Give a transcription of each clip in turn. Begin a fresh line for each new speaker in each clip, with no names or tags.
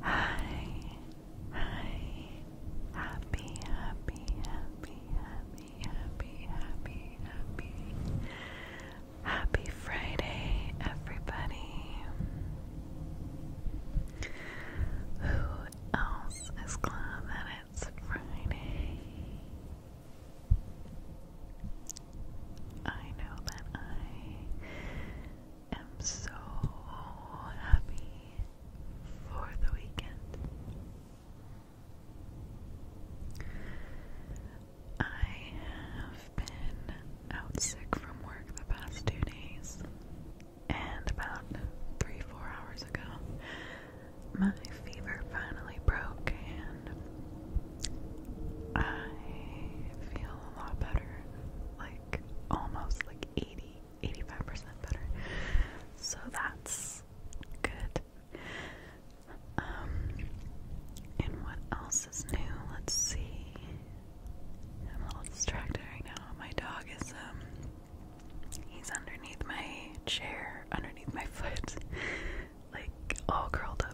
Hi, hi, happy, happy, happy, happy, happy, happy, happy, happy Friday, everybody. Who else is glad that it's Friday? I know that I i am so happy for the weekend. I have been out sick from work the past two days, and about three, four hours ago, my fever finally broke, and I feel a lot better. Like, almost like 80, 85% better. So that's good. Um, and what else is new? Let's see. I'm a little distracted right now. My dog is, um, he's underneath my chair, underneath my foot, like all curled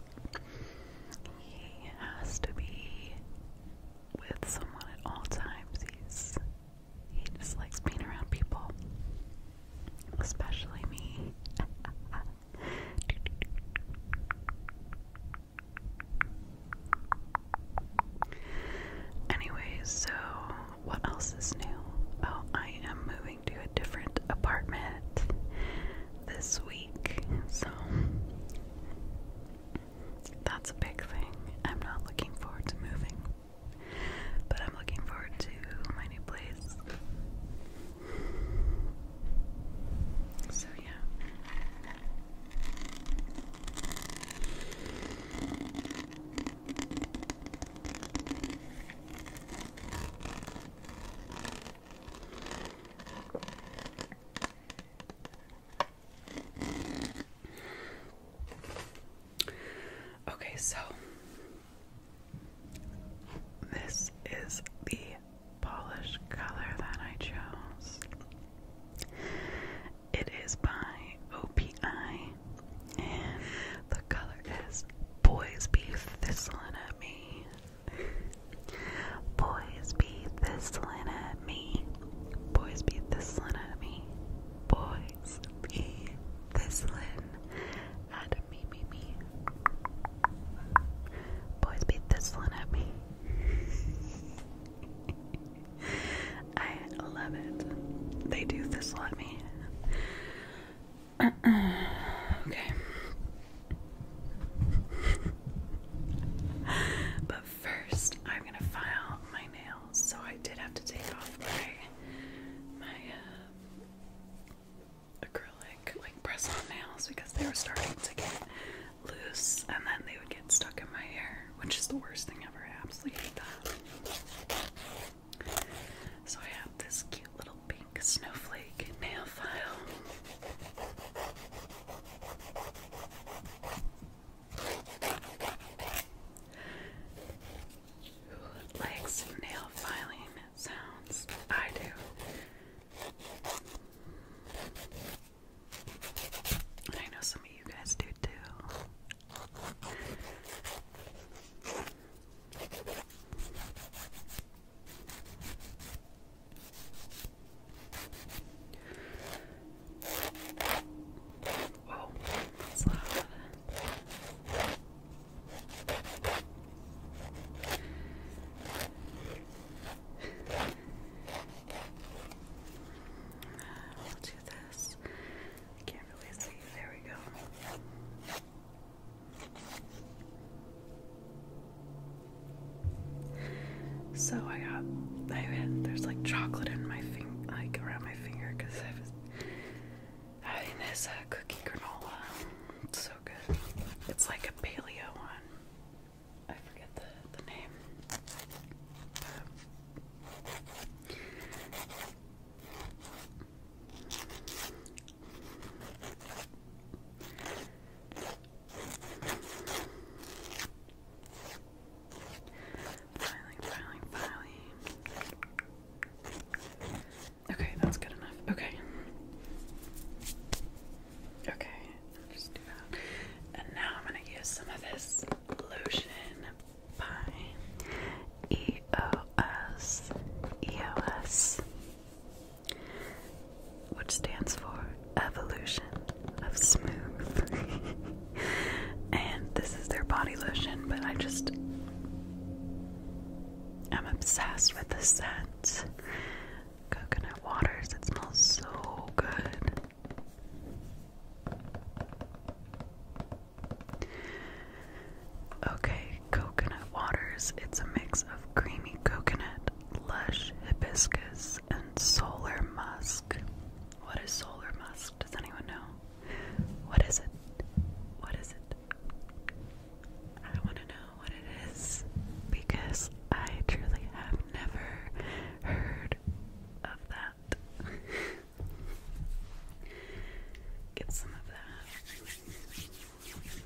he has to be with someone at all times. He's he just likes being around people. Especially me. Anyways, so what else is new? Oh, I am moving to a different apartment this week, so that's a big thing. I'm not looking forward to moving, but I'm looking forward to my new place. So, yeah. Okay, so this is the polish color that I chose. It is by OPI, and the color is Boys Be Thistling at Me. Boys beat this line at me. Boys be thistling at me. Boys be thistling at me, me, me. Boys be thistling at me. I love it. They do thistle at me. okay but first, I'm gonna file my nails. So I did have to take off my my uh, acrylic like press-on nails because they were starting to get loose, and then they would get stuck in my hair, which is the worst thing ever. I absolutely hate that. So I have this cute little pink snowflake nail file likes nail filing sounds? I do. I know some of you guys do too. Oh, that's loud. I'll do this. can't really see. There we go. So I got, I had, there's like chocolate in my finger, like around my finger, because I was having this uh, cookie granola. It's so good. It's like a paleo one. I forget the, the name. Okay, that's good enough. Okay. Okay, just do that. And now I'm gonna use some of this lotion by which stands for Evolution of Smooth. and this is their body lotion, but I just. I'm obsessed with the scent. Coconut waters, it smells so good. Okay, coconut waters. It's a mix of creamy coconut, lush hibiscus, and solar musk. What is solar musk? Does anyone know? What is it? What is it? I want to know what it is because I truly have never heard of that. Get some of that.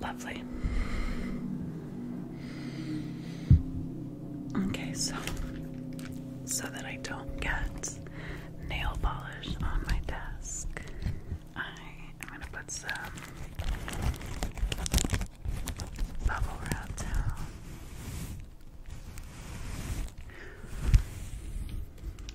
Lovely. Okay, so so that I don't get nail polish on my desk, I am gonna put some bubble wrap down.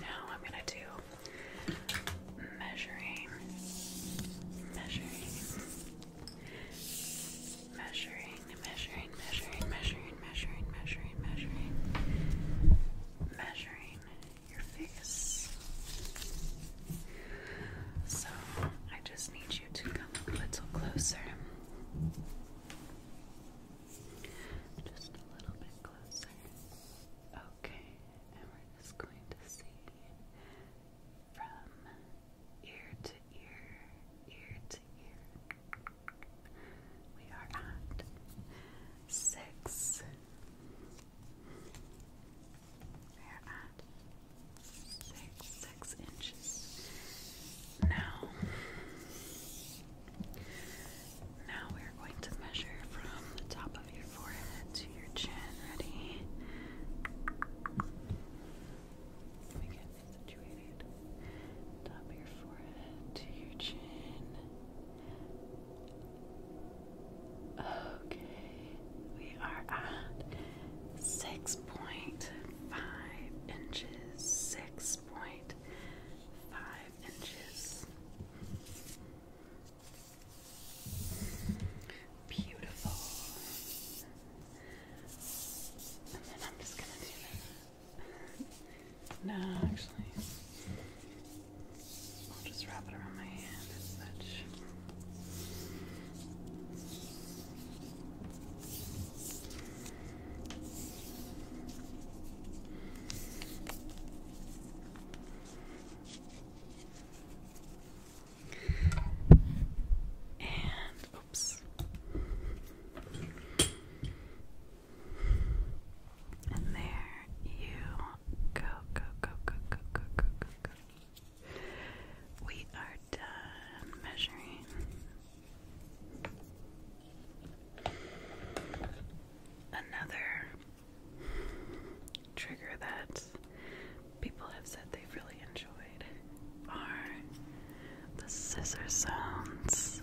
Now I'm going to do measuring, measuring, measuring, measuring, measuring, measuring, measuring, measuring, measuring, measuring your face. So I just need you to come a little closer. Just a little bit closer. Okay, and we're just going to see from ear to ear, ear to ear. We are at six. We are at six six inches. Now, now we're going to measure from the top of your forehead to your chin. Ready? Let me get situated. Top of your forehead to your chin. Okay, we are at six point five inches, six point five inches. Beautiful. And then I'm just gonna do that. no, actually. I'll just wrap it around my hand as such. And oops. And there you go, go, go, go, go, go, go, go, go. We are done measuring Another trigger that people have said they've really enjoyed are the scissor sounds.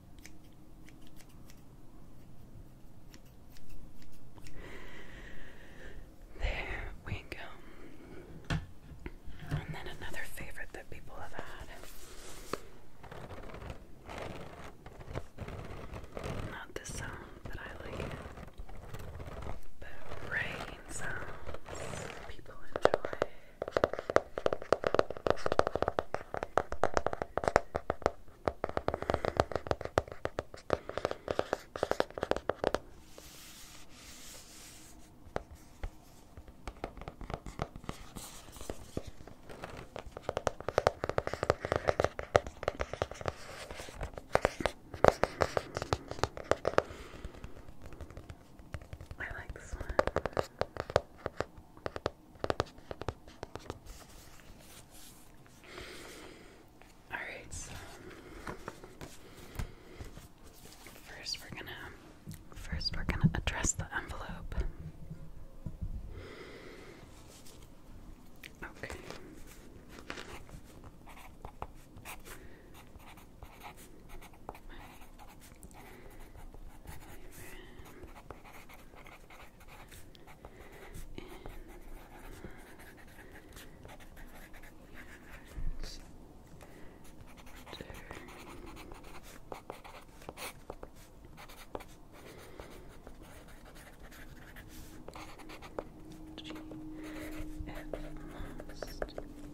There we go. And then another favorite that people have had. Not this sound, but I like it. But rain sounds people enjoy. I like this one. All right, so first we're gonna first we're gonna address the envelope. Okay.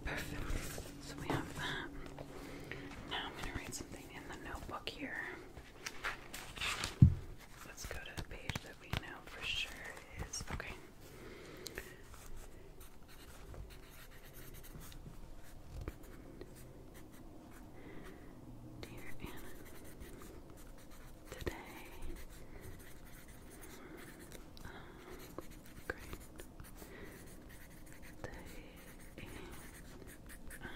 Perfect. I'm going to write something in the notebook here. Let's go to the page that we know for sure is okay. Dear Anna, today, um, great. T and I am feeling so much better.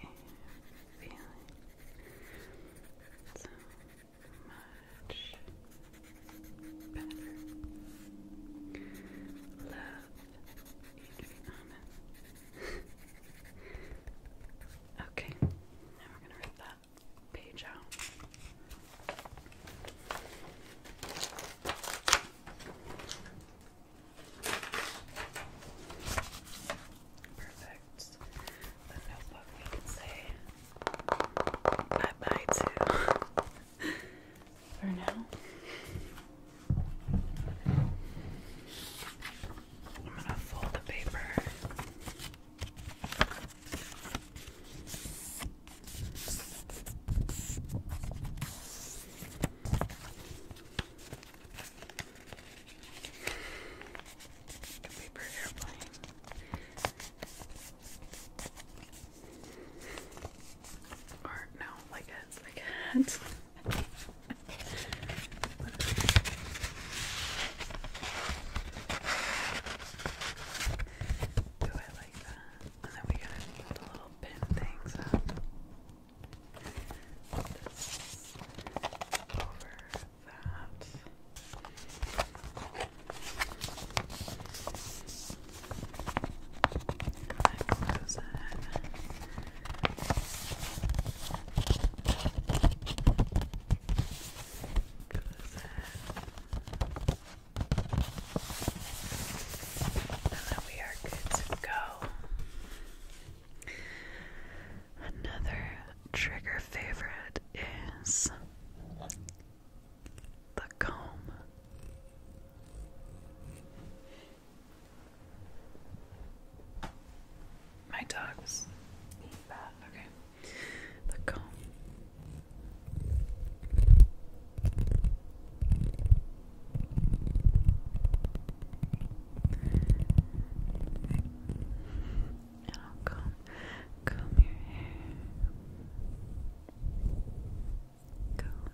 Love Adriana. okay, now we're gonna rip that page out. Perfect. The notebook we can say bye bye to for now. I'm gonna fold the paper. A paper Or no, like it's like it. Do it like that. And then we gotta hold a little pin things up. Put this over that. close it. Close it then we are good to go. Another trigger favorite is the comb. My dogs eat that, okay. The comb. And I'll comb, comb your hair. Comb,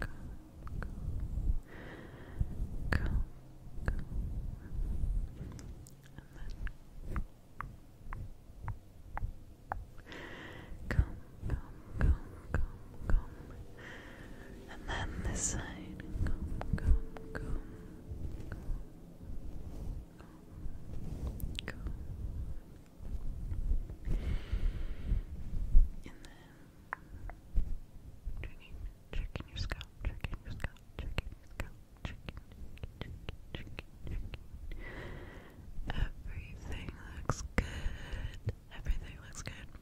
comb, comb, comb, And then comb, comb, comb, comb, comb. And then this side. Comb, comb, comb, comb, comb, And then checking, checking your scalp, checking your scalp, checking your scalp, checking, checking, checking, checking. Everything looks good. Everything looks good.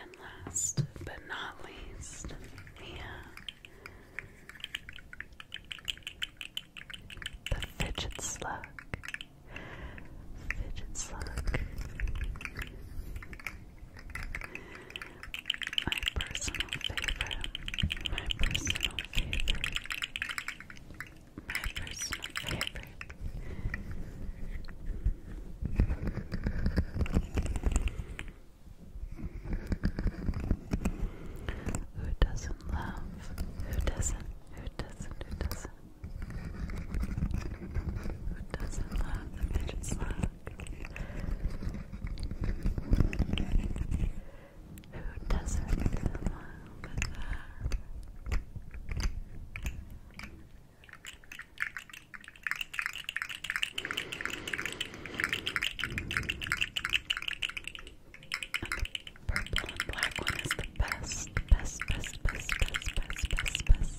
And last but not least, we the fidget slug fidget slug. My personal favorite. My personal favorite. My personal favorite. Who doesn't love? Who doesn't? Who doesn't? Who doesn't? Who doesn't love the fidget slug? Who doesn't love the purple and black one is the best, best, best, best, best, best, best, best.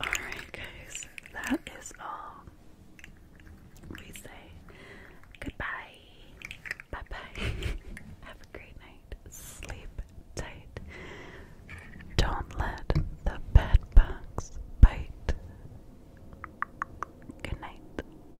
Alright, guys, that is all. We say goodbye. Bye bye. Have a great night. Sleep tight. Don't let the bed bugs bite. Good night.